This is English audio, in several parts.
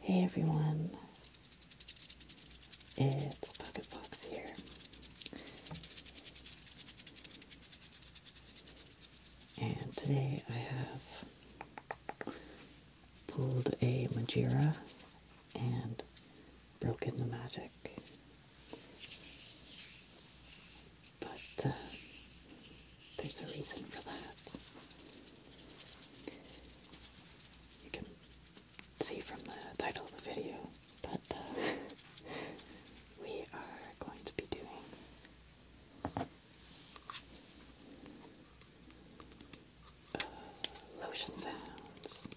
Hey everyone, it's Pocket Fox here. And today I have pulled a Magira and broken the magic but uh, there's a reason for that. You can see from the title of the video, but uh, we are going to be doing uh, lotion sounds.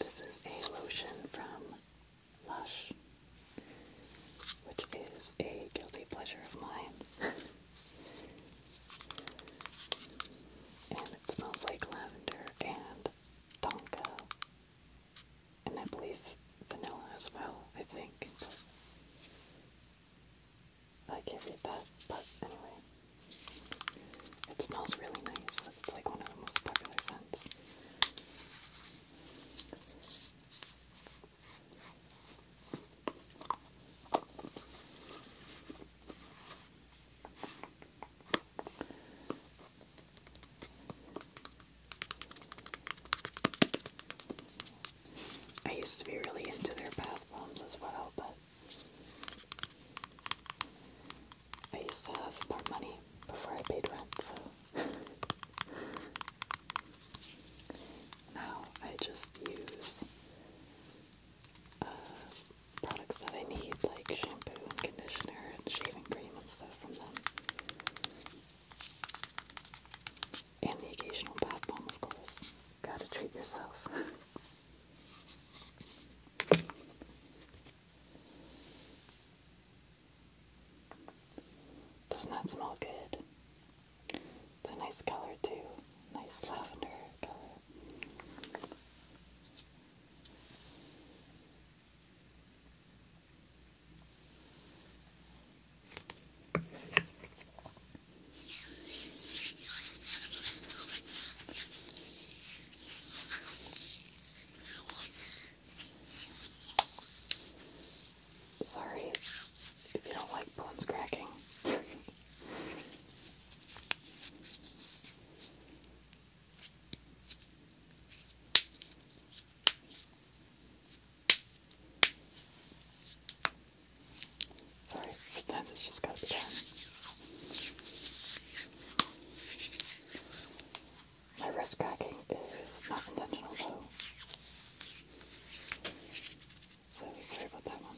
This is a lotion from Lush, which is a guilty pleasure of mine. and it smells like lavender and tonka and I believe vanilla as well, I think. I can't read that, but anyway. It smells really nice. It's like one of the most popular scents. I used to be really into their bath bombs as well, but I used to have more money before I paid rent, so now I just use uh, products that I need, like shampoo and conditioner and shaving cream and stuff from them. And the occasional bath bomb, of course. Gotta treat yourself. Doesn't that smell good? It's a nice color too. Nice lavender color. Sorry if you don't like bones cracking. Sorry, sometimes just gotta be My wrist cracking is not intentional though. So sorry about that one.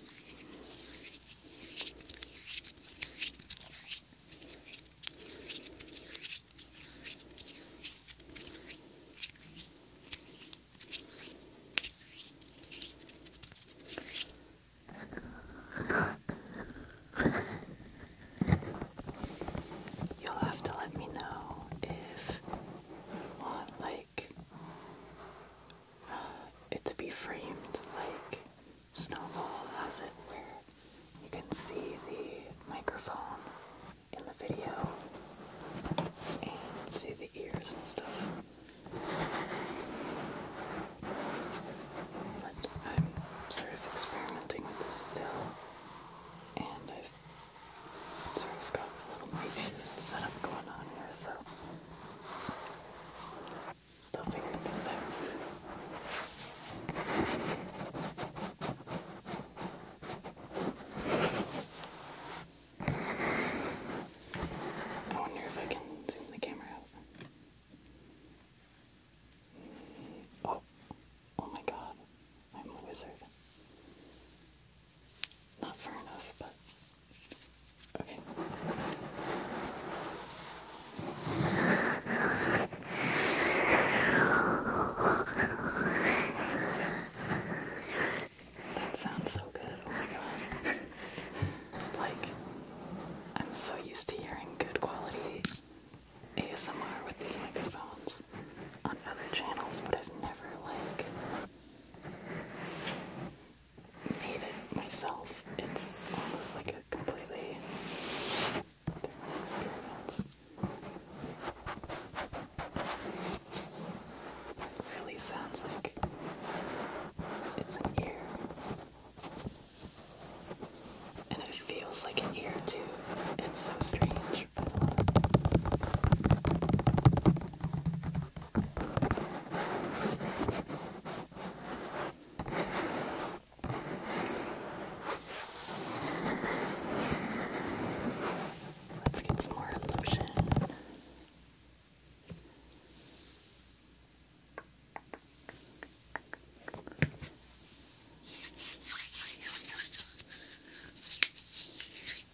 You'll have to let me know if you want, like, it to be framed like Snowball has it, where you can see the microphone in the video and see the ears and stuff. But I'm sort of experimenting with this still, and I've sort of got a little makeshift setup going on here, so still figuring things I oh, wonder if I can zoom the camera out. Oh, oh my god, I'm a wizard. Not far enough, but okay. That sounds so good. Oh like, I'm so used to hearing good quality ASMR with these microphones on other channels, but I've never, like, made it myself. It's almost like a completely their It really sounds like an ear. And it feels like an ear too. It's so strange, Let's get some more lotion.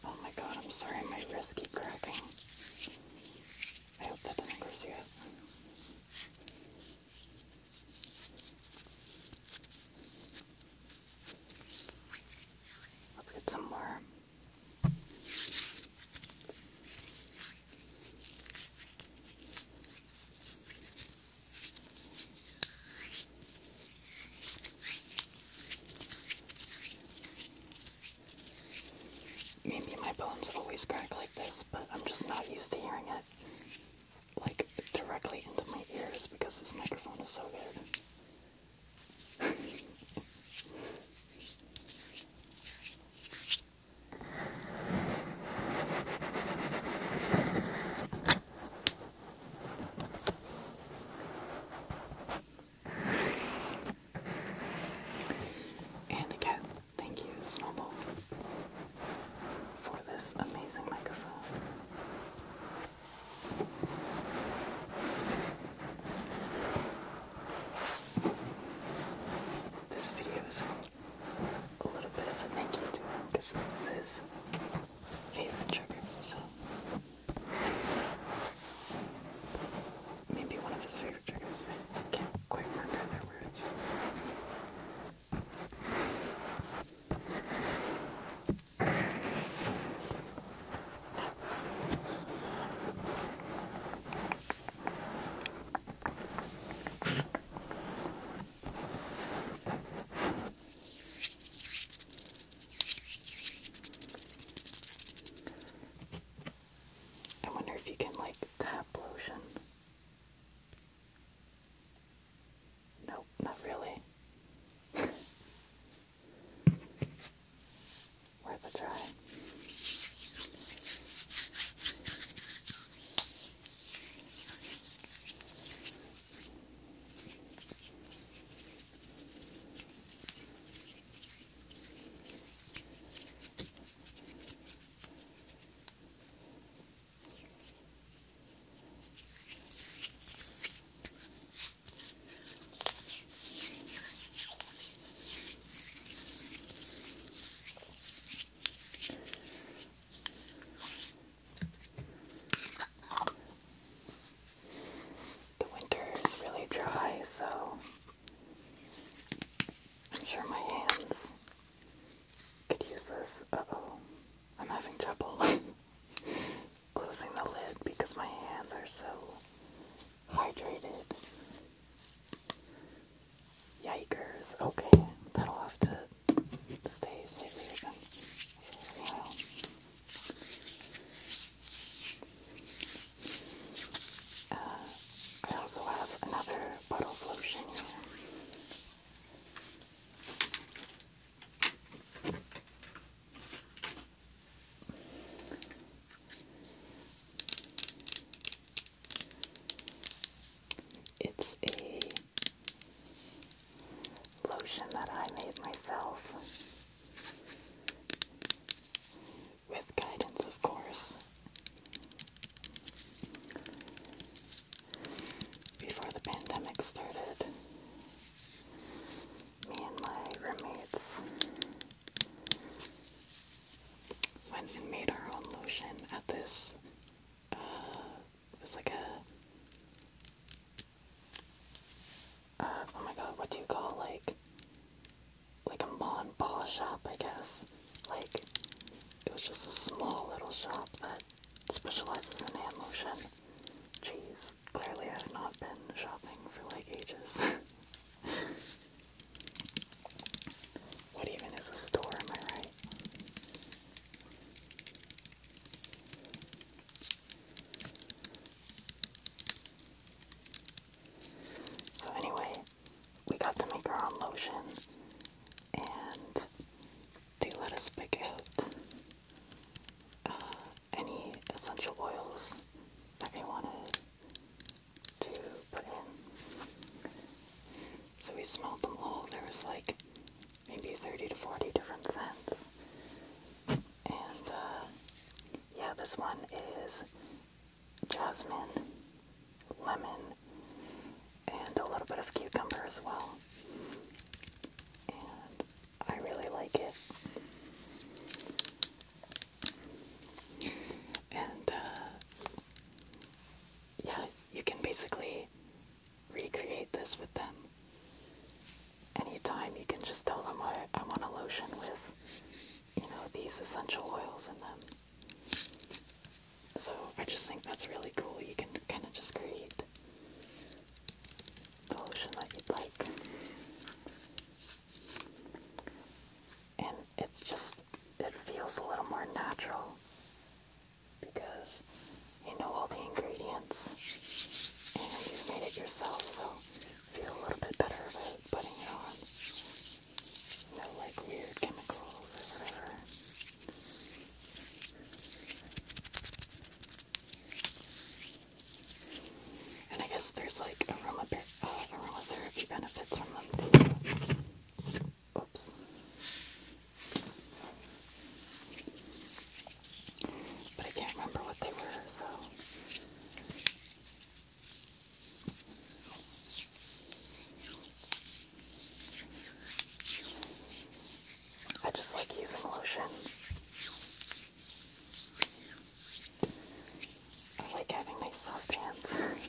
Oh my god, I'm sorry, my wrists keep cracking. I hope that doesn't gross you up. Let's get some more. Maybe my bones have always cracked like this, but I'm just not used to hearing it like directly into my ears because this microphone is so good. and again, thank you, Snowball, for this amazing microphone. This video is a little bit of a thank you to him because this is his favorite trigger, so maybe one of his favorite triggers. I can't quite remember I wonder if you can like tap lotion. Nope, not really. Worth a try. The winter is really dry, so I'm sure my hands could use this. Uh oh. I'm having trouble closing the lid because my hands are so hydrated. Yikers. Okay, that'll have to stay slightly open uh, I also have another bottle of lotion here. It's a lotion that I made myself. With guidance, of course before the pandemic started, me and my roommates went and made our own lotion at this, uh, it was like a, uh, oh my god, what do you call, like, like a Mon Paw shop, I guess. Like, it was just a small little shop that specializes in hand lotion. Jeez, clearly I've not been shopping for like ages. what even is a store, am I right? So anyway, we got to make our own lotion and they let us pick out uh, any essential oils that we wanted to put in. So we smelled them all. There was like maybe 30 to 40 different scents. And uh, yeah, this one is jasmine, lemon, and a little bit of cucumber as well. And I really like it. And uh, yeah, you can basically recreate this with them. Anytime you can just tell them I, I want a lotion with, you know, these essential oils in them. So I just think that's really cool. You can kind of just create Lotion that you'd like. And it's just, it feels a little more natural because you know all the ingredients and you've made it yourself, so you feel a little bit better about putting it on. There's no like weird chemicals or whatever. And I guess there's like aroma, uh, aromatherapy benefits from them too. Oops. But I can't remember what they were, so. I just like using lotion. I like having nice soft hands.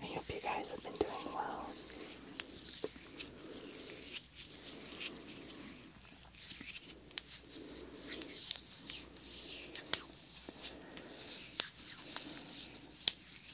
I hope you guys have been doing well.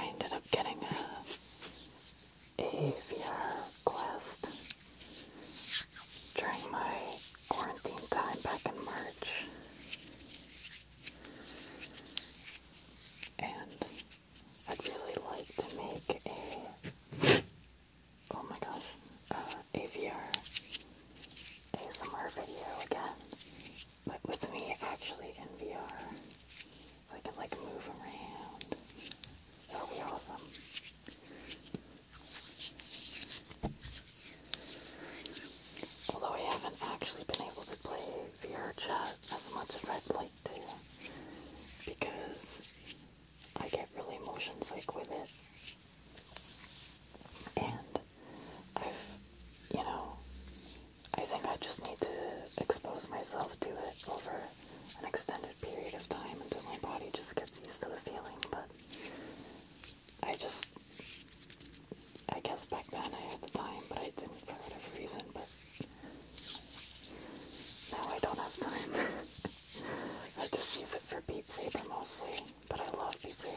I ended up getting a, a VR Quest during my quarantine time back in March. And I'd really like to make a oh my gosh, uh, AVR ASMR video again, but with me actually in VR, so I can like move around. That'll be awesome. Although I haven't actually been able to play VR chat as much as I'd like to, because I get really motion sick with it. And I've, you know, I think I just need to expose myself to it over an extended period of time until my body just gets used to the feeling. But I just, I guess back then I had the time, but I didn't for whatever reason. But now I don't have time. I just use it for Beat Saber mostly, but I love Beat Saber.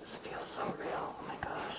This feels so real, oh my gosh.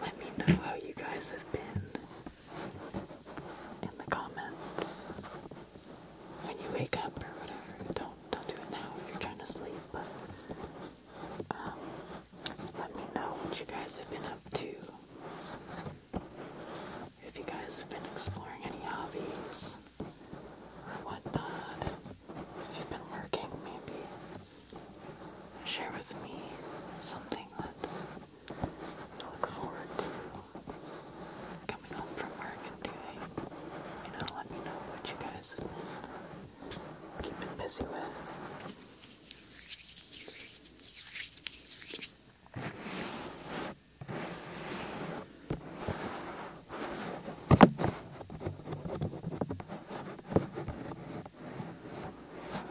Let me know how you guys have been in the comments when you wake up or whatever. Don't don't do it now if you're trying to sleep, but um, let me know what you guys have been up to. If you guys have been exploring any hobbies or whatnot, if you been working maybe share with me something that you look forward to coming home from work and doing. You know, let me know what you guys have been busy with.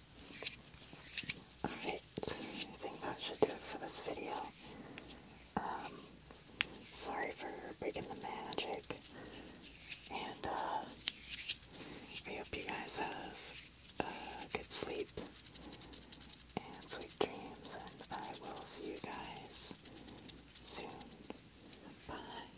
Alright, I think that should do it for this video. Um, sorry for breaking the magic. And, uh, I hope you guys have a uh, good sleep and sweet dreams, and I will see you guys soon. Bye.